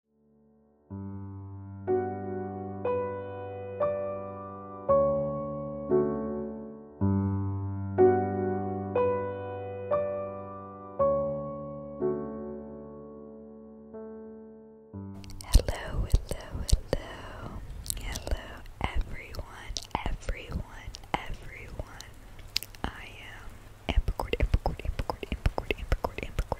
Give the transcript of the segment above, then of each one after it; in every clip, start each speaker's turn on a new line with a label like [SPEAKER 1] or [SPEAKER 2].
[SPEAKER 1] Hello, hello, hello, hello, everyone, everyone, everyone. I am Ambercord, Ambercord, Ambercord, Ambercord, Ambercord, Ambercord,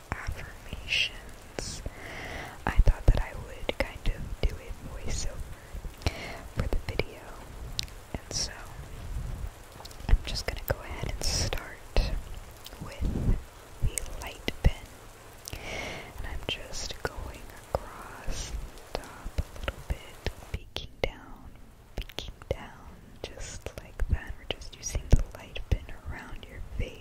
[SPEAKER 1] affirmations. I thought that I would kind of do a voiceover for the video, and so I'm just gonna go ahead and start with the light pen, and I'm just going across the top a little bit, peeking down, peeking down, just like that. We're just using the light pen around your face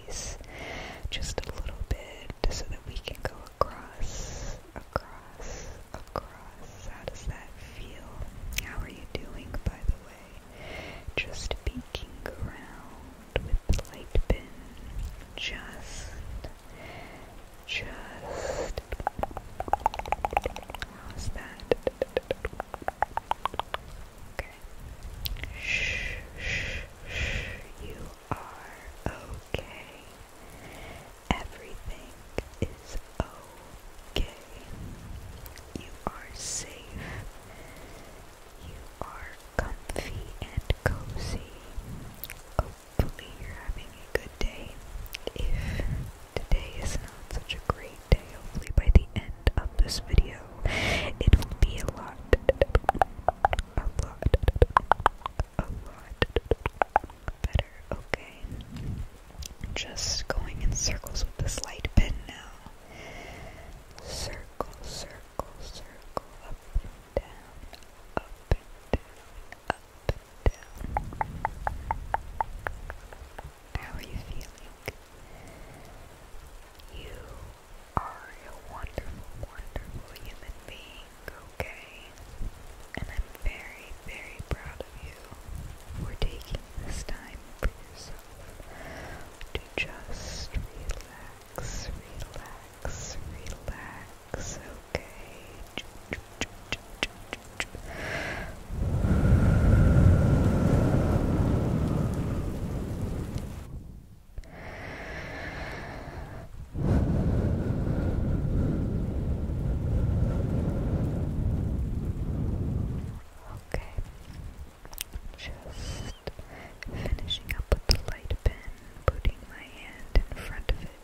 [SPEAKER 1] just a little bit so that we can go across, across, across. How does that feel? How are you doing, by the way? Just peeking around with the light bin. Just, just. How's that? Okay. Shh, shh, shh. You are okay. Everything is okay. You are safe. You are comfy and cozy. Hopefully, you're having a good day. If today is not such a great day, hopefully, by the end of this video, it will be a lot, a lot, a lot better. Okay, just going in circles with this light pen now. Circle, circle, circle, up and down, up and down, up and down. How are you feeling? You are a wonderful, wonderful human being, okay? And I'm very, very proud of you for taking this time for yourself to just relax, relax, relax, okay? Okay, just finishing up with the light pen, putting my hand in front of it,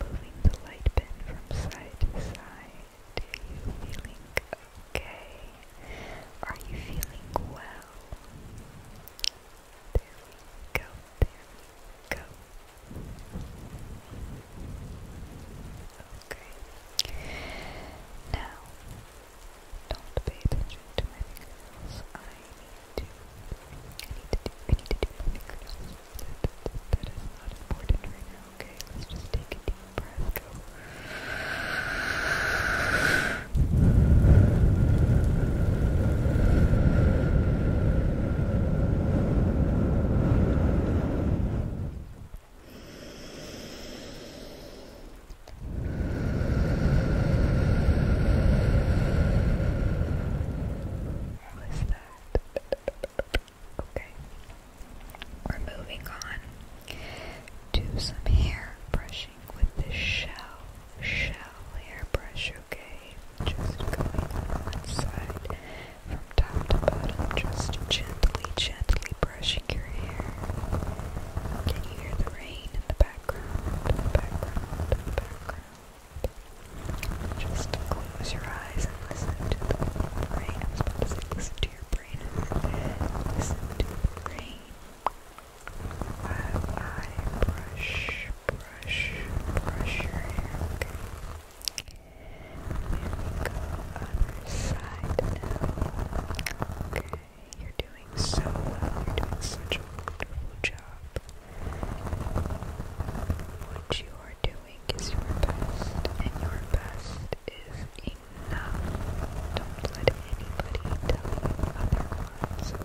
[SPEAKER 1] moving the light pen from side to side. Do you feeling okay? Are you feeling well? There we go, there we go. Okay. Now, don't pay attention to my fingers. I need to, I need to do, I need to do my fingers. that is not important right now, okay? Let's just take a deep breath, go. What was that? Okay. We're moving on to some hair brushing with the shell, shell hairbrush, okay? Just going on one side from top to bottom, just gently, gently brushing your hair. Can you hear the rain in the background? Just close your eyes and listen to the rain. listen to your brain. Listen to the rain. While I brush, brush,
[SPEAKER 2] brush your hair, And we go other side Okay, you're doing so well. You're doing such a wonderful job. What you are doing is your best, and your best is enough. Don't let anybody tell you otherwise,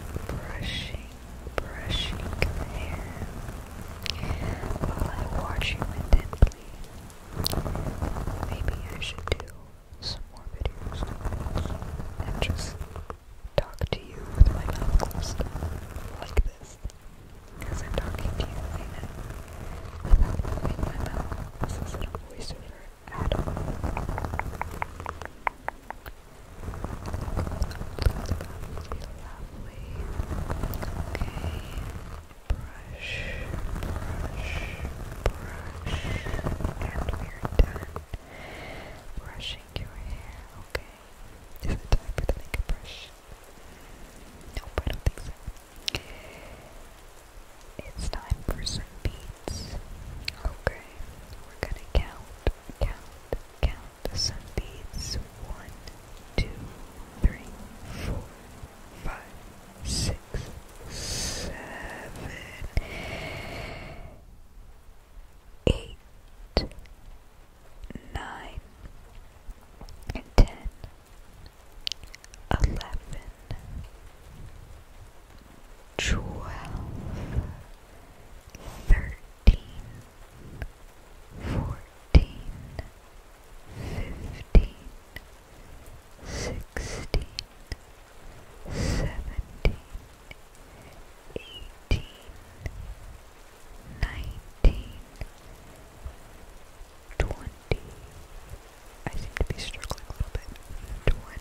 [SPEAKER 2] brushing, brushing your hair while I watch you intently. Maybe I should do some more videos and just talk to you with my mouth closed like this. Because I'm talking to you right now without moving my mouth. This isn't a voiceover, at Lovely. Okay. Brush, brush, brush, and we're done brushing your hair. Okay. Is it time for the makeup brush? Nope, I don't think so. It's time for some beats. Okay we're gonna count, count, count. So these one, two, three, four, five, six, seven, eight, nine, and ten, eleven, twelve, thirteen, fourteen, fifteen, sixteen, seventeen, eighteen, nineteen, twenty. I seem to be struggling a little bit. Twenty.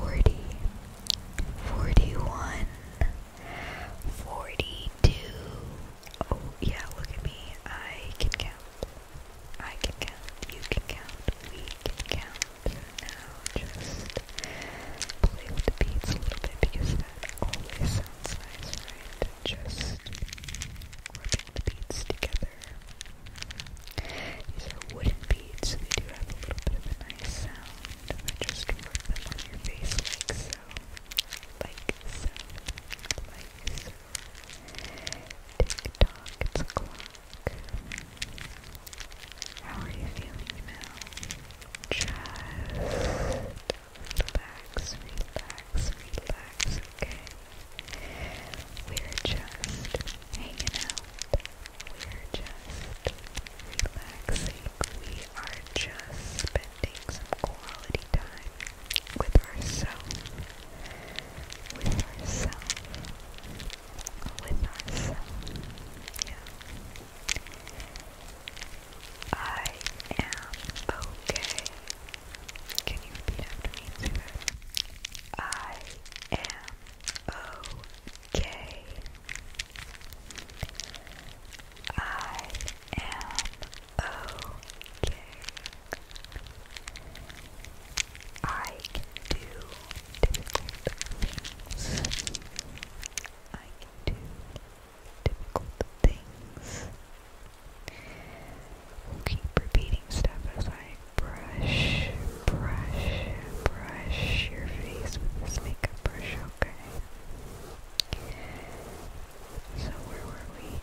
[SPEAKER 2] 40
[SPEAKER 1] 41 42 yeah, look at me. I can count. I can count. You can count. We can count. Now just play with the beats a little bit because that always sounds nice, right? Just rubbing the beats together. These are wooden beads, so they do have a little bit of a nice sound I just work them on your face like so. Like so. Like so. Tick a clock. How are you feeling now? Just relax, relax, relax, okay? We're just hanging out. We're just relaxing. We are just spending some quality time with ourselves. With ourselves. With ourselves. Yeah. I am okay. Can you repeat after me, Taylor? I am K I okay. can do difficult things. I can do difficult things. will keep repeating stuff as I brush, brush, brush your face with this makeup brush, okay? So where were we?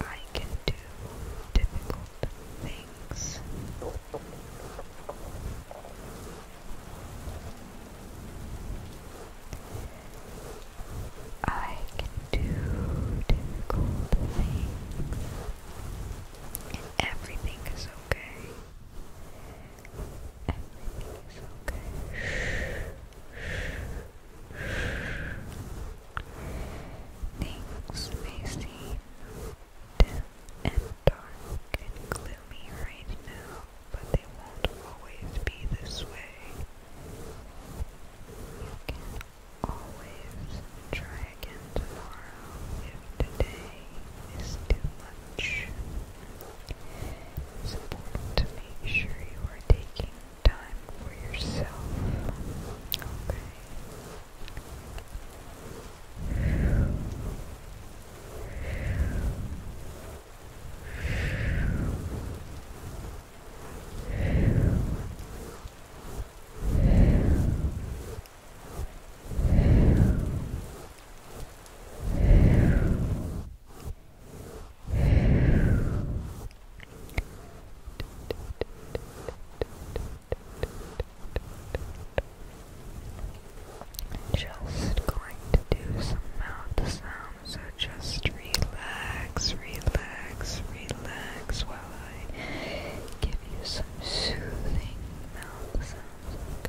[SPEAKER 1] I can do difficult things. I can do difficult things and everything is okay. Everything is okay. Things may seem dim and dark and gloomy right now, but they won't always be this way. You can always try again tomorrow if today is too much. It's important to make sure you are taking time for yourself. Just going to do some mouth sounds, just relax, relax, relax while I give you some soothing sounds, okay?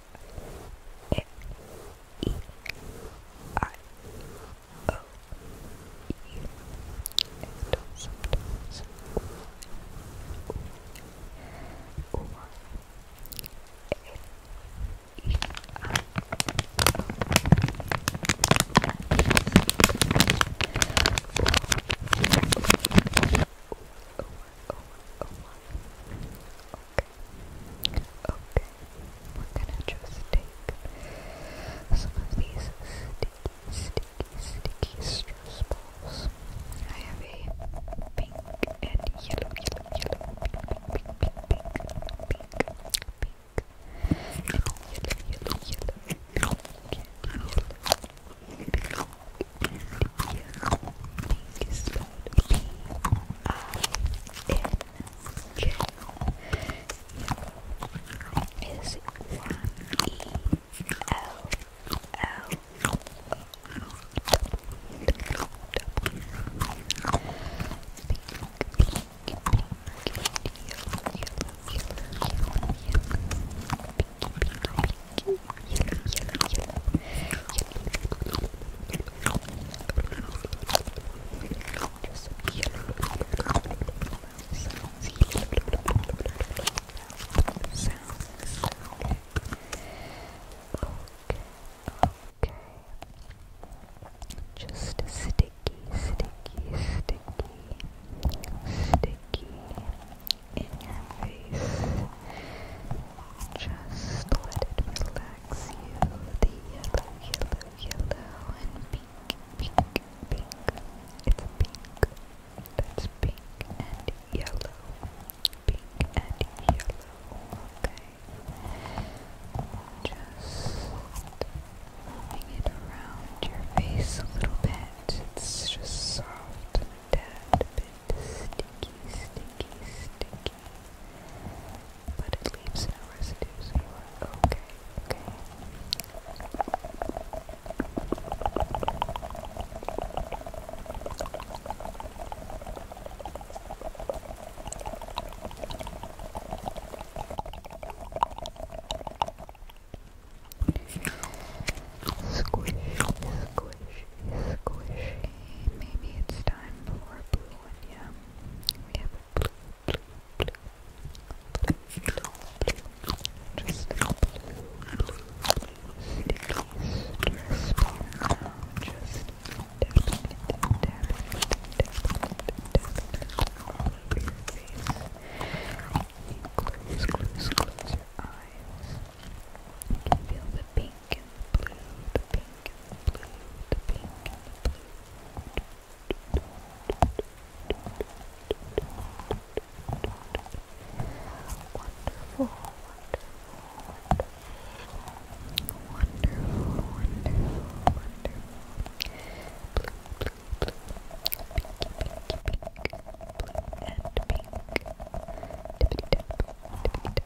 [SPEAKER 1] M E I O U, and sometimes or L E I O. Okay. Okay, we're gonna just take some of these sticky, sticky, sticky stress I have a pink and yellow, yellow, yellow, pink, pink, pink, pink, pink, pink, pink and yellow, yellow, yellow, pink, yellow, Pink is spelled P I N K. Yellow is Y E L L O Pink, pink, okay. Just sticky, sticky, sticky, sticky in your face. Just let it relax you. The yellow, yellow, yellow, and pink, pink, pink. pink. That's pink and yellow. Pink and yellow. Okay. Just moving it around your face a little bit. It's just soft tad bit sticky, sticky, sticky. But it leaves no residue, okay. Squish, squish, squish, maybe it's time for a blue one, yeah. We have a blue, blue, blue, blue, blue, blue. Just a blue, blue, sticky stress ball Just dab it, dab it, dab
[SPEAKER 2] it, all over your face. Close, close, close your eyes. You feel the pink and blue, the pink and the blue, the pink and the blue. Wonderful, wonderful, wonderful, wonderful, wonderful. Blue, blue, blue, pinky, pinky, pink, blue and pink. Tippity tap,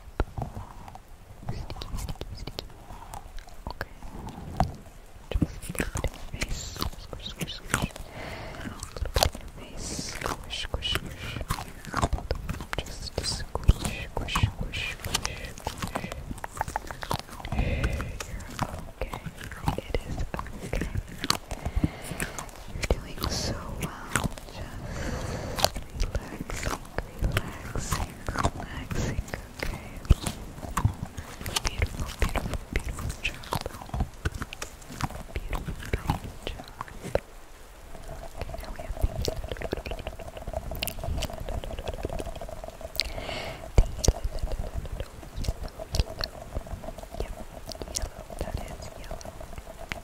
[SPEAKER 2] Sticky, sticky, sticky. Okay. Just put it in your face. Squish, squish, squish. Put it in your face. Squish, squish, squish. Just squish, squish, squish, squish, squish. You're okay. It is okay. You're doing so well. Just relaxing, relaxing, relaxing. Okay. Beautiful, beautiful, beautiful job. Beautiful, beautiful job. Okay, now we have the Yellow, yellow, yellow, that is yellow.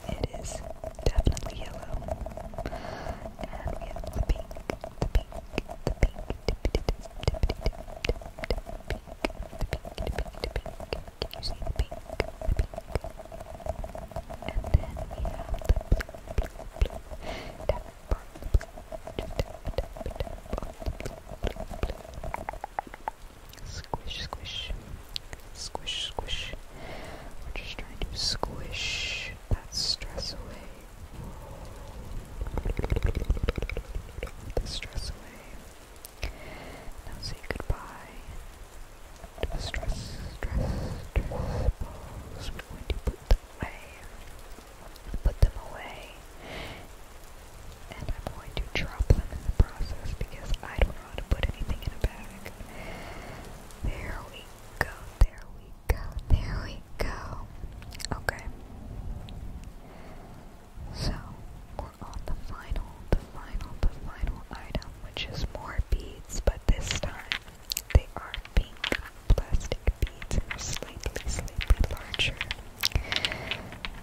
[SPEAKER 2] It is definitely yellow. And we have the pink, the pink, the pink, the pink, the pink, the pink. Can you see the pink? The pink. And then we have the blue, blue, blue. Tap, tap, tap, tap, tap, tap, Squish, squish. Squish, squish. We're just trying to squish that stress away. The stress away. Now say goodbye to the stress, stress, We're going to put them away. Put them away. And I'm going to drop them in the process because I don't to put anything in a bag. There we go, there we go, there we go. Okay. So, we're
[SPEAKER 1] on the final, the final, the final item, which is more beads, but this time they are pink plastic beads slightly, slightly larger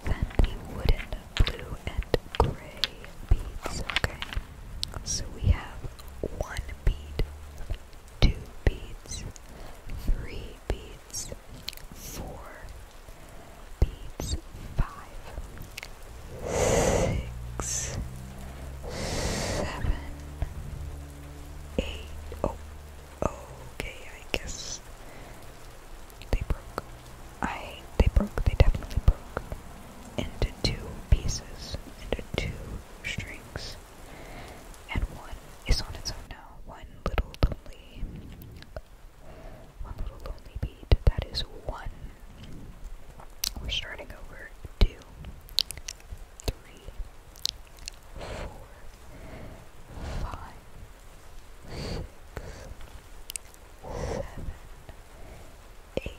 [SPEAKER 1] than the wooden blue and gray beads, okay? So we have one bead, two beads, three beads, four beads, five, six, seven, eight. Oh, okay, I guess they broke. I they broke. They definitely broke into two pieces, into two strings. And one is on its own now. One little lonely one little lonely beat. That is one. We're starting over two, three, four, five, six, seven, eight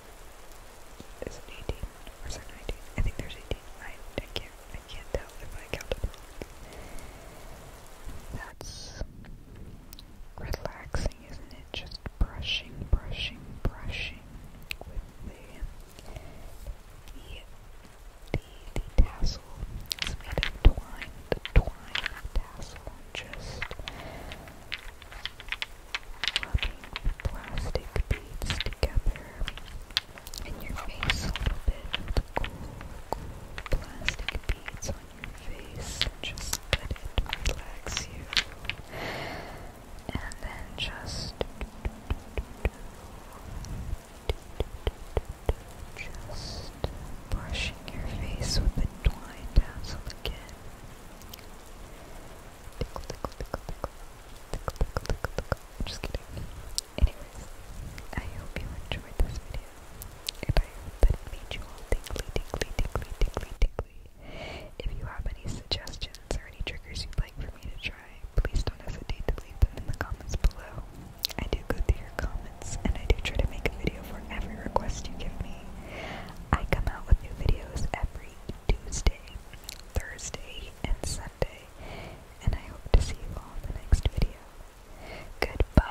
[SPEAKER 1] is it 18? Or is it 19? I think there's 18. I, I can't I can't tell if I counted wrong. That's relaxing, isn't it? Just brushing, brushing, brushing with the the the, tassel. It's made of twine. The twine tassel. Just Rubbing plastic beads together in your face a little bit with the cool plastic beads on your face. Just let it relax you. And then just, just brushing your face with the twine dangle again. Just kidding. Anyways, I hope you enjoyed this video. And I made you all tingly, tingly, tingly, tingly, tingly. If you have any suggestions or any triggers you'd like for me to try, please don't hesitate to leave them in the comments below. I do go through your comments and I do try to make a video for every request you give me. I come out with new videos every Tuesday, Thursday, and Sunday, and I hope to see you all in the next video. Goodbye.